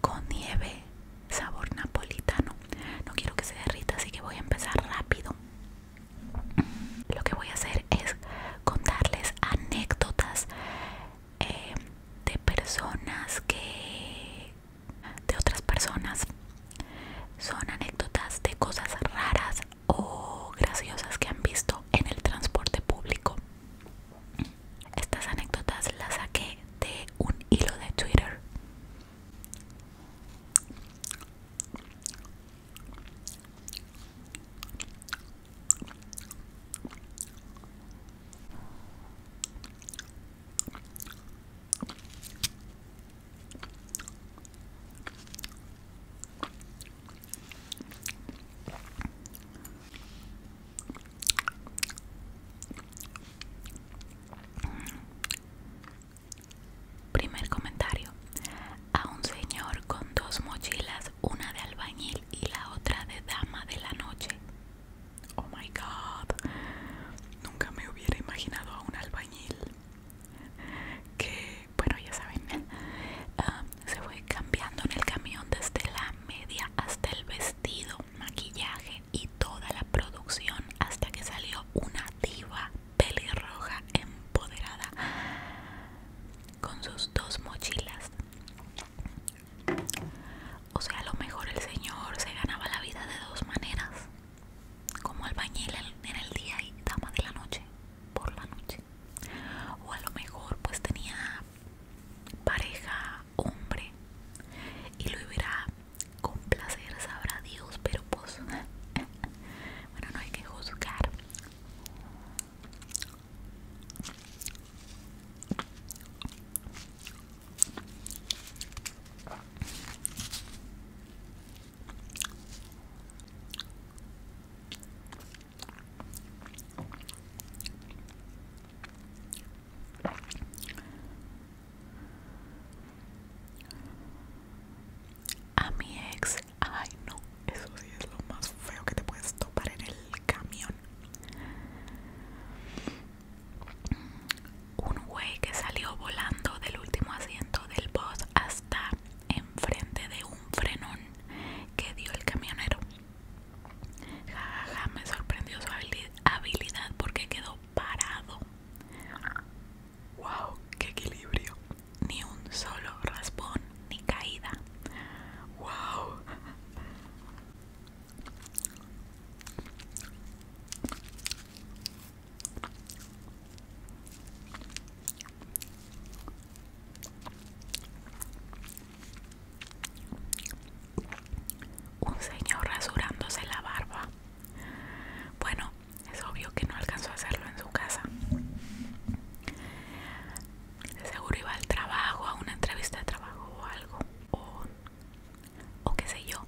con nieve sabor napolitano no quiero que se derrita así que voy a empezar rápido lo que voy a hacer es contarles anécdotas eh, de personas que de otras personas son anécdotas de cosas raras o graciosas que han visto en el transporte público estas anécdotas las saqué de un hilo de Twitter. Primer comentario. A un señor con dos mochilas, una de albañil y la otra de dama de la noche. Oh my god. Nunca me hubiera imaginado a un albañil que, bueno, ya saben, um, se fue cambiando en el camión desde la media hasta el vestido, maquillaje y toda la producción hasta que salió una diva pelirroja empoderada con sus dos mochilas. O sea, a lo mejor el señor se ganaba la vida de dos maneras, como albañil en el día y dama de la noche, por la noche. O a lo mejor pues tenía pareja hombre y lo verá con placer, sabrá Dios, pero pues bueno, no hay que juzgar. A mi ex, ay no, eso sí es lo más feo que te puedes topar en el camión. Un güey que salió volando del último asiento del bus hasta enfrente de un frenón que dio el camionero me sorprendió su habilidad porque quedó parado. ¡Wow! ¡Qué equilibrio! Ni un solo raspón ni caída. ¡Wow! Un señor rasurándose la barba. Bueno, es obvio que no alcanzó a hacerlo en su casa. seguro iba al trabajo, a una entrevista de trabajo o algo. O, o qué sé yo.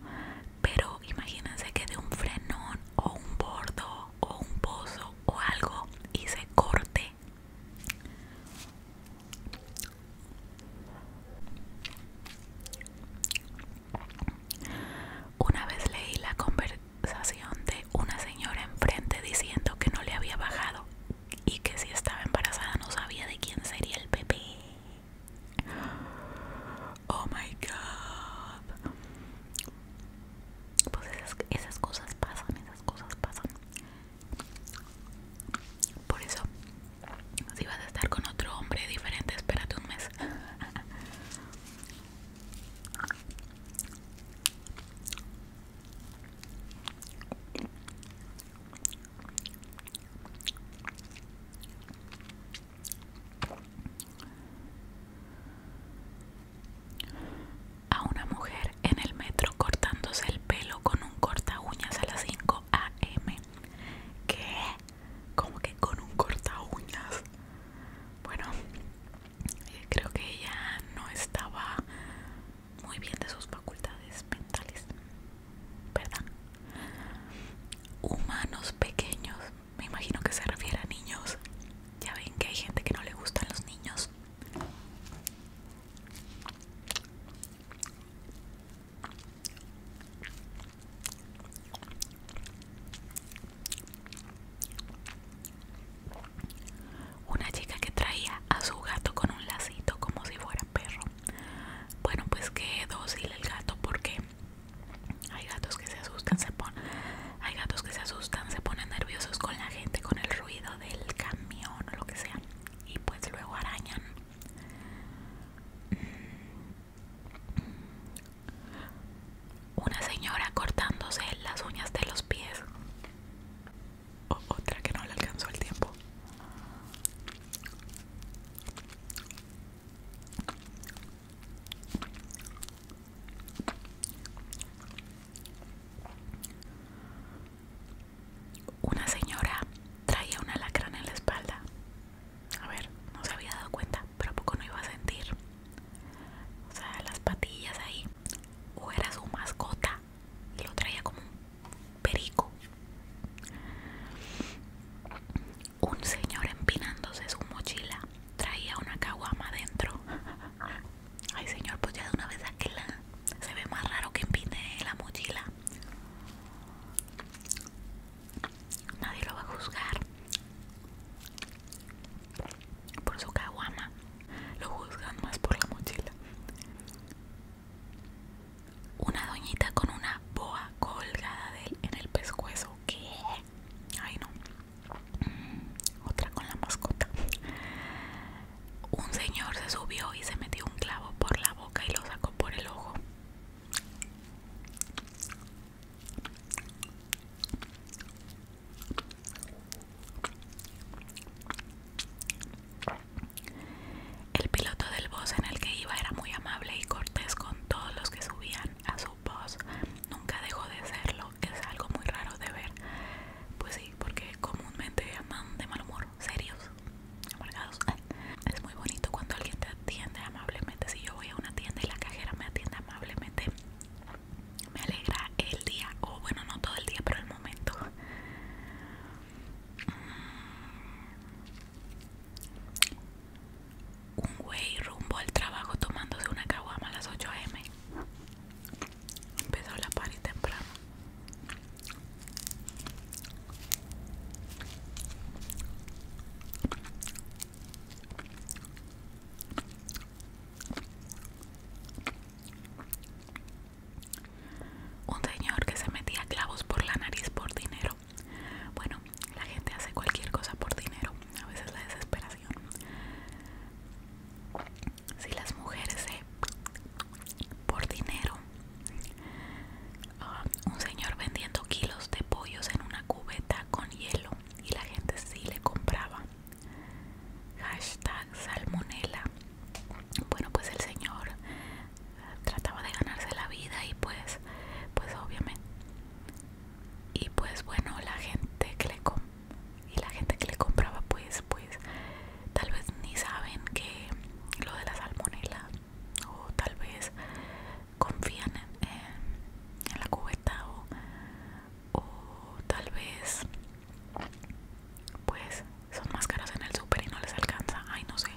Pero imagínense que de un frenón o un bordo o un pozo o algo y se corte una vez leí la conversación de una señora enfrente diciendo que no le había bajado y que si estaba embarazada no sabía de quién sería el bebé. Oh my god. Pues esas, cosas pasan, esas cosas pasan. Por eso, si vas a estar con otro hombre diferente, espérate un mes. A una mujer en el metro cortándose el pelo con un corta uñas a las 5 a.m que Como que con un corta uñas. Bueno, eh, creo que ella no estaba muy bien de sus facultades mentales, ¿verdad? Humanos pequeños, me imagino que se refiere a niños. Ya ven que hay gente que no le gustan los niños. Una chica que traía a su gato con un lacito como si fuera perro. Bueno, pues qué dócil el gato porque hay gatos que se asustan, se ponen, hay gatos que se asustan, se ponen nerviosos con la gente, con el ruido del camión o lo que sea, y pues luego arañan Mm. Una señora cortándose las uñas de los pies. otra que no le alcanzó el tiempo. Una señora traía una alacrán en la espalda. A ver, no se había dado cuenta, pero a poco no iba a sentir. O sea, las patillas ahí. O era su mascota y lo traía como un perico. Un señor empinándose su mochila traía una caguama dentro. Ay, señor, pues ya de una vez aquella se ve más raro que empine la mochila. Nadie lo va a juzgar por su caguama. Lo juzgan más por la mochila. Una doñita con una boa colgada de en el pescuezo. ¿Qué? Ay no. Mm, otra con la mascota un señor se subió y se metió un clavo por la boca y lo sacó por el ojo. El piloto del bus en el que iba era muy amable y cortés con todos los que subían a su bus. Nunca dejó de serlo, es algo muy raro de ver. Pues sí, porque comúnmente llaman de mal serios, amargados. Es muy bonito cuando alguien te atiende amablemente. Si yo voy a una tienda y la cajera me atiende amablemente, me alegra el día, o bueno, no todo el día, pero el momento. Mm. Un güey rumbo al trabajo tomándose una caguama a las 8 am. Empezó la y temprano. Un señor que se metía clavos por la nariz por dinero. Bueno, la gente hace cualquier cosa por dinero. A veces la desesperación. Si las mujeres se por dinero. Ah, un señor vendiendo kilos de pollos en una cubeta con hielo y la gente sí le compraba. Hashtag salmonela. Bueno, pues el señor eh, trataba de ganarse la vida y pues, pues obviamente. Y pues bueno, la gente que le y la gente que le compraba pues, pues tal vez ni saben que lo de la salmonela o tal vez confían en, la cubeta o, tal vez pues son más caras en el súper y no les alcanza ay no sé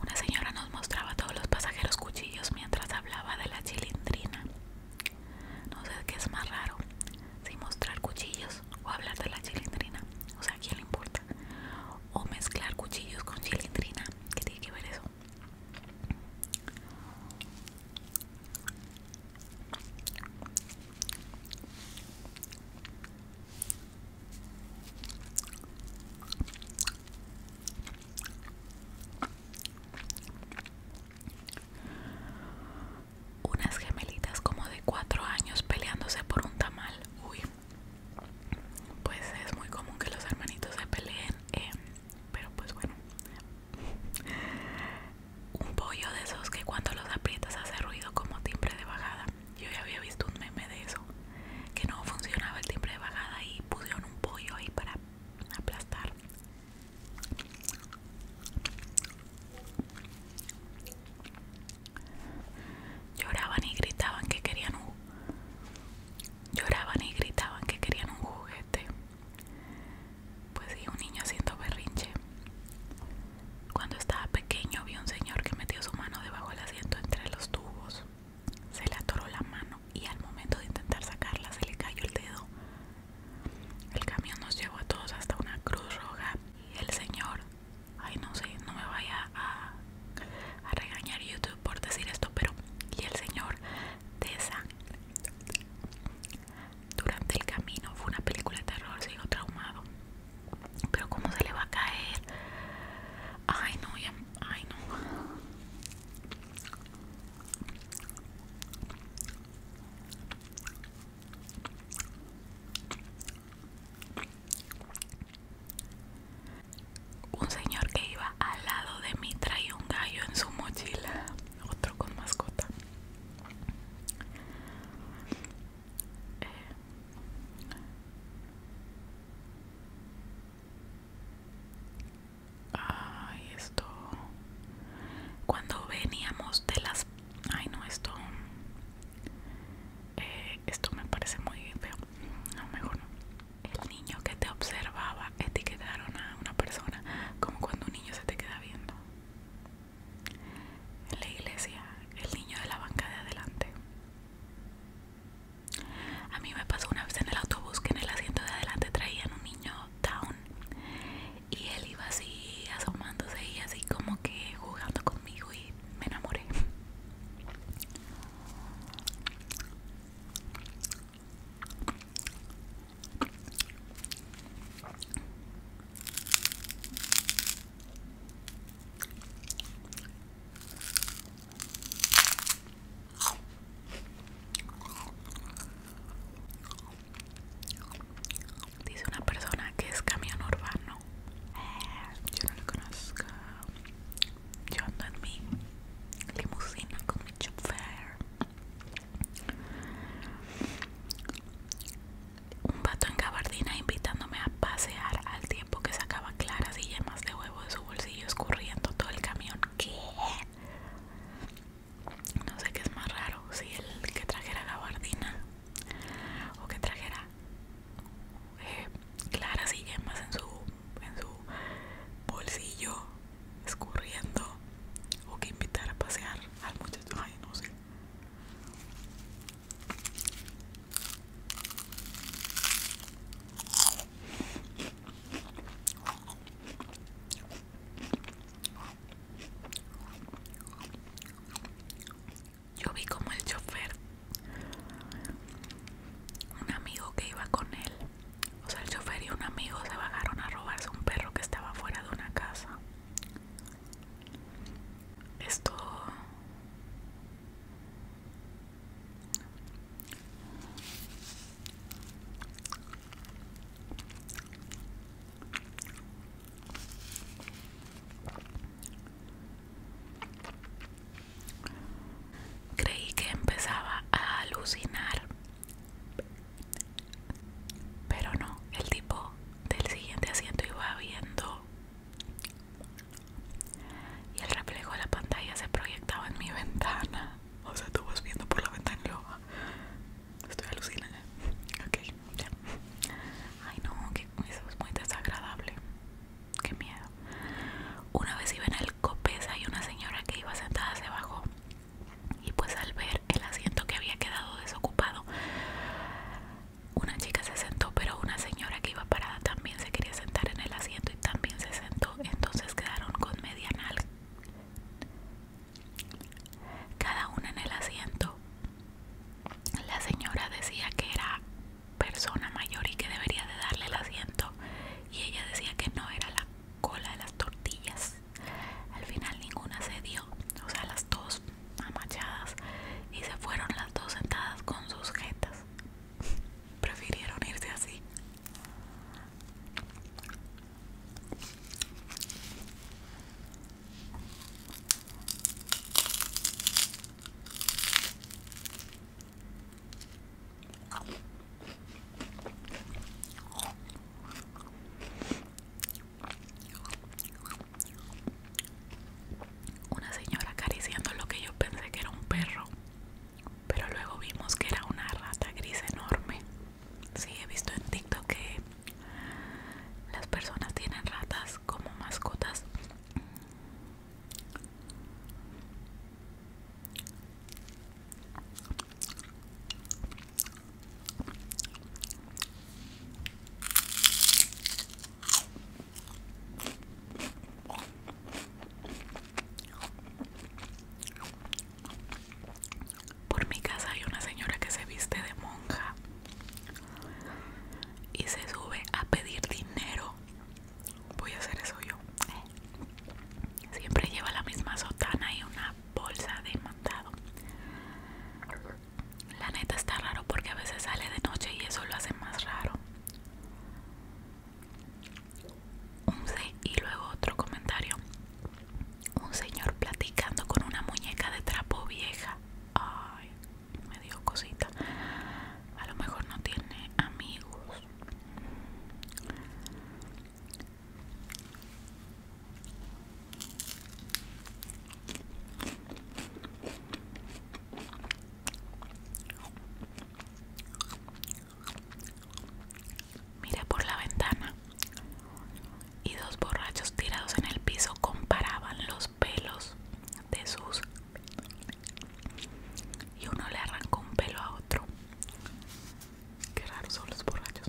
una señora nos mostraba a todos los pasajeros cuchillos mientras hablaba de la chilindrina. No sé qué es más raro, si mostrar cuchillos o hablar de la chilindrina. O sea, ¿a quién le importa? O mezclar cuchillos con chilindrina. ¿Qué tiene que ver eso? Unas gemelitas como de 4 años peleándose por un tamal. Uy, pues es muy común que los hermanitos se peleen, em, pero pues bueno. Un pollo de esos que cuando los aprietas hace ruido como timbre de bajada. Yo ya había visto un meme de eso que no funcionaba el timbre de bajada y pusieron un pollo ahí para aplastar. Lloraban y gritaban que querían un lloraban y gritaban que querían un juguete. Pues sí, un niño haciendo berrinche. Cuando estaba pequeño vi un señor que metió su mano debajo del asiento entre los tubos. Se le atoró la mano y al momento de intentar sacarla se le cayó el dedo. El camión nos llevó a todos hasta una cruz roja y el señor, ay no sé, no me vaya a, regañar YouTube por decir esto, pero y el señor de esa durante el camino fue una película de terror, sigo traumado. Pero como se le va a caer. Ay no, ya no. Un señor que iba al lado de mí traía un gallo en su mochila, otro con mascota. Eh, Ay, esto. Cuando veníamos de las. Ay, no, esto. Eh, esto me parece muy feo. No, mejor no. El niño que te observaba etiquetaron a una persona como cuando un niño se te queda viendo. En la iglesia, el niño de la banca de adelante. A mí me pasó una vez en el autobús que en el asiento de adelante traían un niño down y él iba así asomándose y así como que jugando conmigo y me enamoré. Dice una persona que es camión urbano. Eh, yo no lo conozco. Yo ando en mi limusina con mi chofer. Un vato en gabardina invitándome a pasear al tiempo que sacaba claras y yemas de huevo de su bolsillo escurriendo todo el camión. ¿Qué? No sé qué es más raro, si el que trajera gabardina o que trajera eh, Clara claras y más en su, en su bolsillo escurriendo o que invitar a pasear al muchacho. Ay, no sé. Yo vi como el chofer, un amigo que iba con él, o sea, el chofer y un amigo se vagaron a robarse un perro que estaba fuera de una casa. Esto Creí que empezaba a alucinar, pero no, el tipo del siguiente asiento iba viendo y el reflejo de la pantalla se proyectaba en mi ventana. O sea, tú vas viendo por la ventana y ah, estoy alucinada. Ok, ya. Ay, no, que eso es muy desagradable. Qué miedo. Una vez iba en el Copesa y una señora que iba sentada se bajó. Y pues al ver el asiento que había quedado desocupado, una chica se sentó, pero una señora que iba parada también se quería sentar en el asiento y también se sentó. Entonces quedaron con media Cada una en el asiento. La señora decía que era persona mayor y que debería de darle el asiento. Y ella decía que no era la cola de las tortillas. Al final ninguna se dio. O sea, las dos amachadas. Y se fueron las dos sentadas con sus jetas prefirieron irse así. Una señora acariciando lo que yo pensé que era un perro, pero luego vimos que era una rata gris enorme. Sí, he visto en TikTok que las personas tienen ratas como mascotas. Por mi casa hay una señora que se viste de monja y se sube a pedir dinero. Voy a hacer eso yo. Siempre lleva la misma sotana y una bolsa de mandado. La neta está raro porque a veces sale de noche y eso lo hace más raro. Un C y luego otro comentario. Un señor platicando con una muñeca de trapo vieja. Ay, me dio cosita. A lo mejor no tiene amigos. Miré por la ventana y dos borrachos tirados en el piso comparaban los pelos de sus y uno le arrancó un pelo a otro. Qué raros son los borrachos.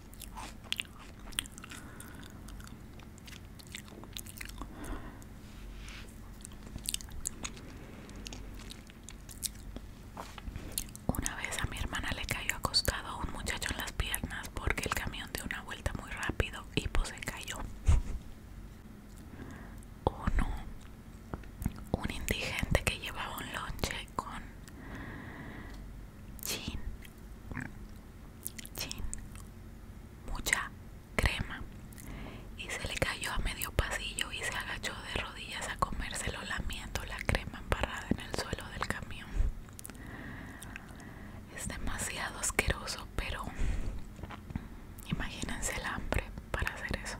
Una vez a mi hermana le cayó acostado a un muchacho en las piernas porque el camión dio una vuelta muy rápido y pues se cayó. Uno, un indigente que llevaba un lonche con chin mucha crema y se le cayó a medio pasillo y se agachó de rodillas a comérselo lamiendo la crema emparrada en el suelo del camión. Es demasiado asqueroso, pero imagínense el hambre para hacer eso.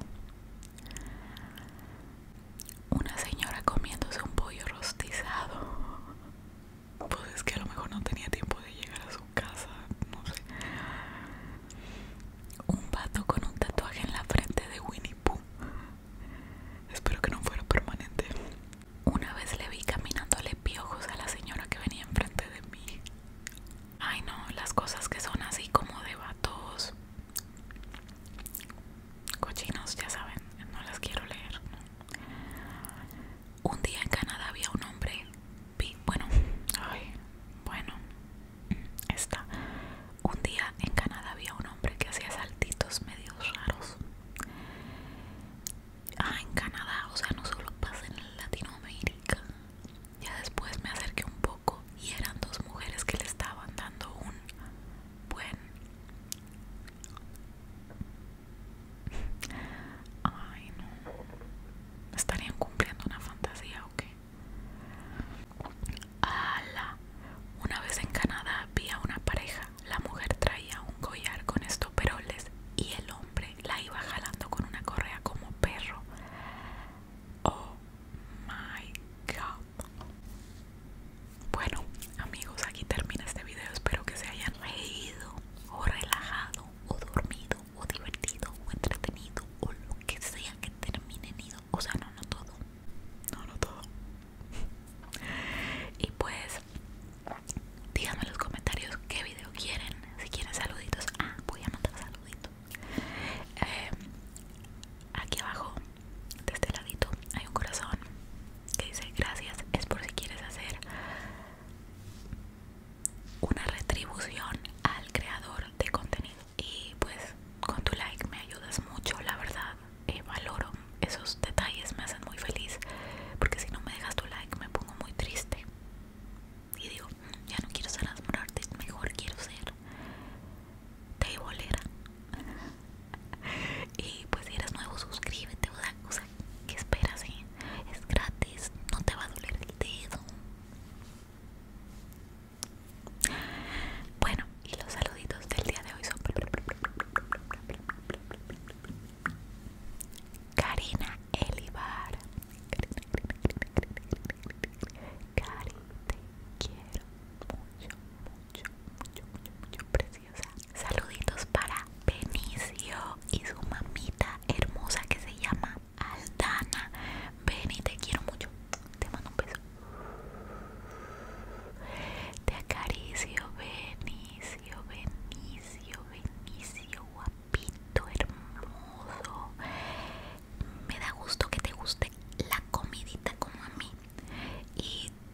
Una señora comiéndose un pollo rostizado pues es que a lo mejor no tenía tiempo de llegar a su casa, no sé. Un vato con un tatuaje en la frente de Winnie Pooh. Espero que no fuera permanente. Una vez le vi caminándole piojos a la señora que venía enfrente de mí. Ay no, las cosas que son así como de vatos cochinos, ya saben, no las quiero leer. ¿no? Un día en Canadá había un hombre, bueno, bueno, está. Un día en Canadá había un hombre que hacía saltitos medios raros. Ah, en Canadá, o sea, no solo pasa en Latinoamérica. Ya después me acerqué un poco y eran dos mujeres que le estaban dando un buen Ay, no. ¿Estarían cumpliendo una fantasía o qué? ala Una vez en Canadá vi a una pareja. La mujer traía un collar con estoperoles y el hombre la iba jalando con una correa como perro. Oh my god. Bueno, amigos, aquí termina este video. Espero que se hayan reído, o relajado, o dormido, o divertido, o entretenido, o lo que sea que termine ido. O sea, no, no todo. No, no todo. y pues, díganme en los comentarios qué video quieren. Si quieren saluditos, ah, voy a mandar saluditos. Em, aquí abajo, de este ladito, hay un corazón que dice gracias es por si quieres hacer una retribución al creador de contenido y pues con tu like me ayudas mucho la verdad eh, valoro esos detalles me hacen muy feliz porque si no me dejas tu like me pongo muy triste y digo mm, ya no quiero ser asmorarte mejor quiero ser volera y pues si eres nuevo suscríbete o sea, que esperas es gratis no te va a doler el dedo bueno y los saluditos del día de hoy son Karina Elibar Karina te quiero mucho, mucho, mucho, mucho, mucho, Saluditos para Benicio y su mamita hermosa que se llama Aldana. y te quiero mucho. Te mando un beso. Te acaricio, Benicio, Benicio, Benicio, guapito, hermoso. Me da gusto que te guste la comidita como a mí. Y